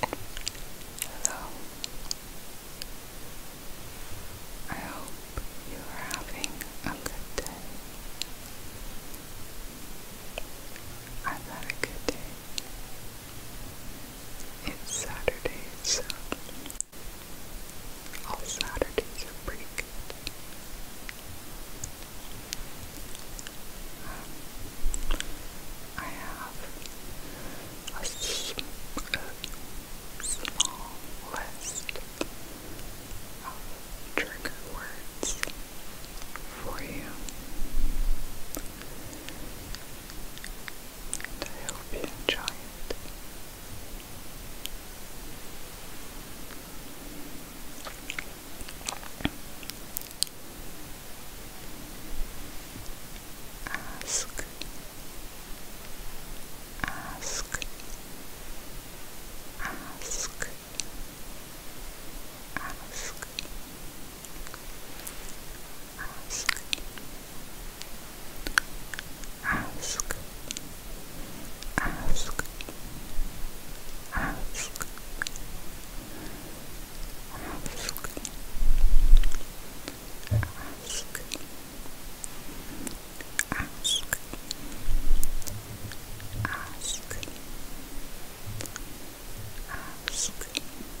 Hello. I hope you are having a good day. I've had a good day. It's Saturday, so all Saturdays are pretty good. Um, I have a small list of trigger words for you. I hope you enjoy it. Ask, ask, ask, ask, ask, ask, ask, ask, ask, ask, ask, ask, ask.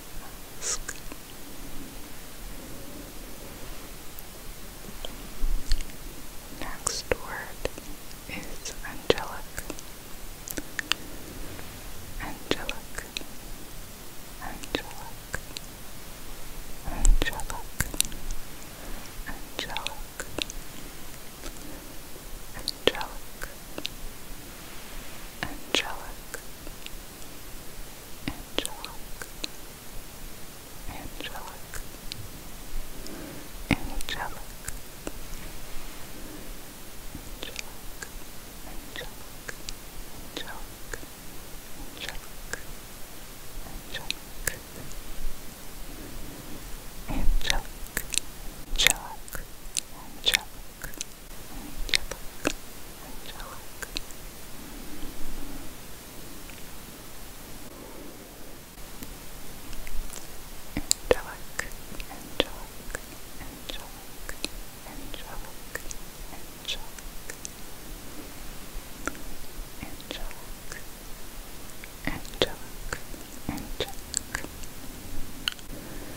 Next word is Angelic. Angelic. Angelic. Angelic. Angelic. Angelic angelic, angelic, angelic, angelic, angelic, angelic, angelic, angelic, angelic, angelic, angelic, angelic angelic, angelic. Angelic, angelic, angelic, angelic, angelic, angelic, angelic, angelic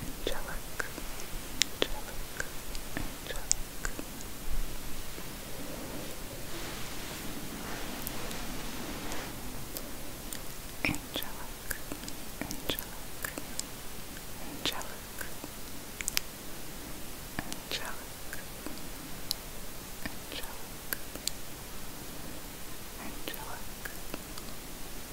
angelic, angelic, angelic. Angelic, angelic, angelic, angelic, angelic, angelic,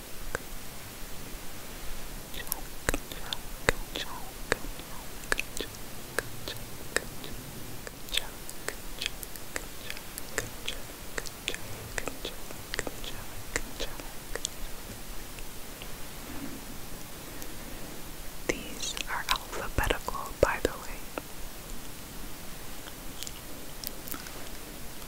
these are alphabetical, by the way.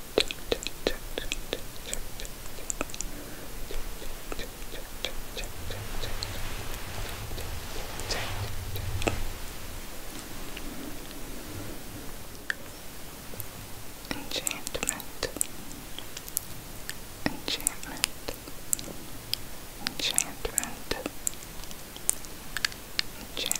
Enchantment, enchantment, enchantment, enchantment, enchantment,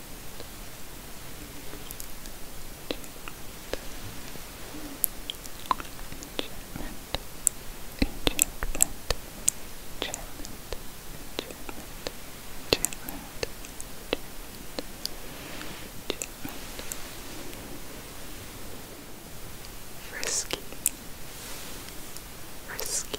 Frisky, frisky,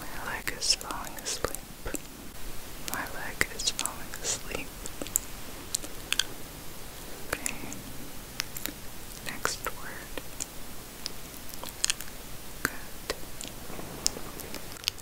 My leg is falling asleep. My leg is falling asleep. Okay. Next word. Good.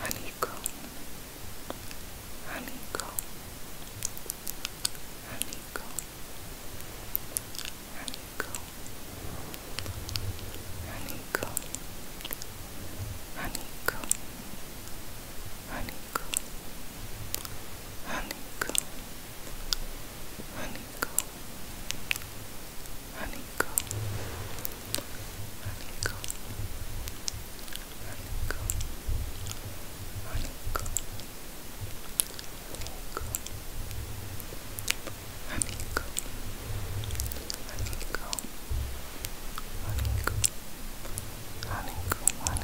Honeycomb, honeycomb, honeycomb, honeycomb, honeycomb, honeycomb, honeycomb, honeycomb, honeycomb, honeycomb. Honey, go. Honey, go. Honey, go. Honey, go. honeycomb, honeycomb, honeycomb, honeycomb, honeycomb, honeycomb, honeycomb, honeycomb, honeycomb, honeycomb, honeycomb, honeycomb, honeycomb, honeycomb,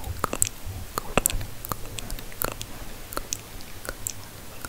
honeycomb, honeycomb,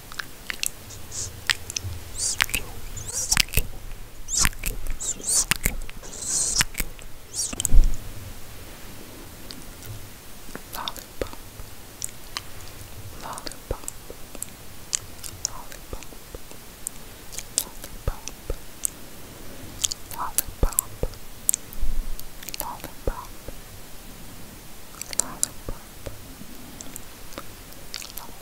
Lollipop, lollipop, lollipop, lollipop, lollipop, lollipop, lollipop, lollipop,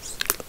スキップス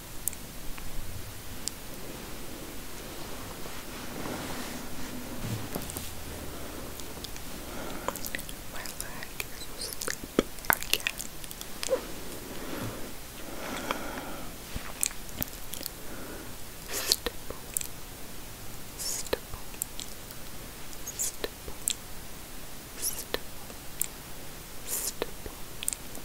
My leg is asleep again. Stipple, stipple, stipple, stipple, stipple,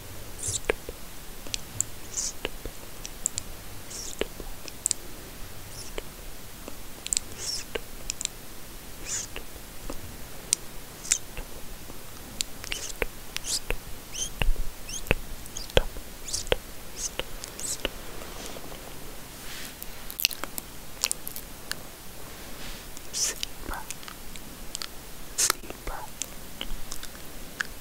stipple, stipple, stipple, stipple, stipple, stipple, Zebra, zebra,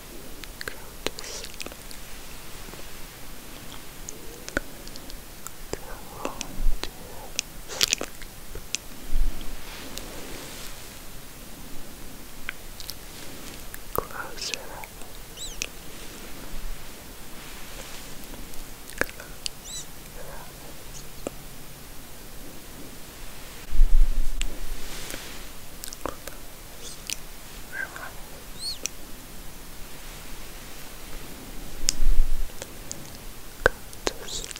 go to sleep. Go to sleep. Close your eyes. Close your eyes. Close relax. Go to sleep. Go to sleep.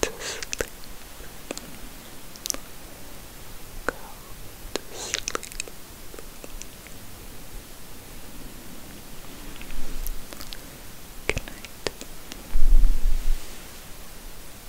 Go to sleep. Good night.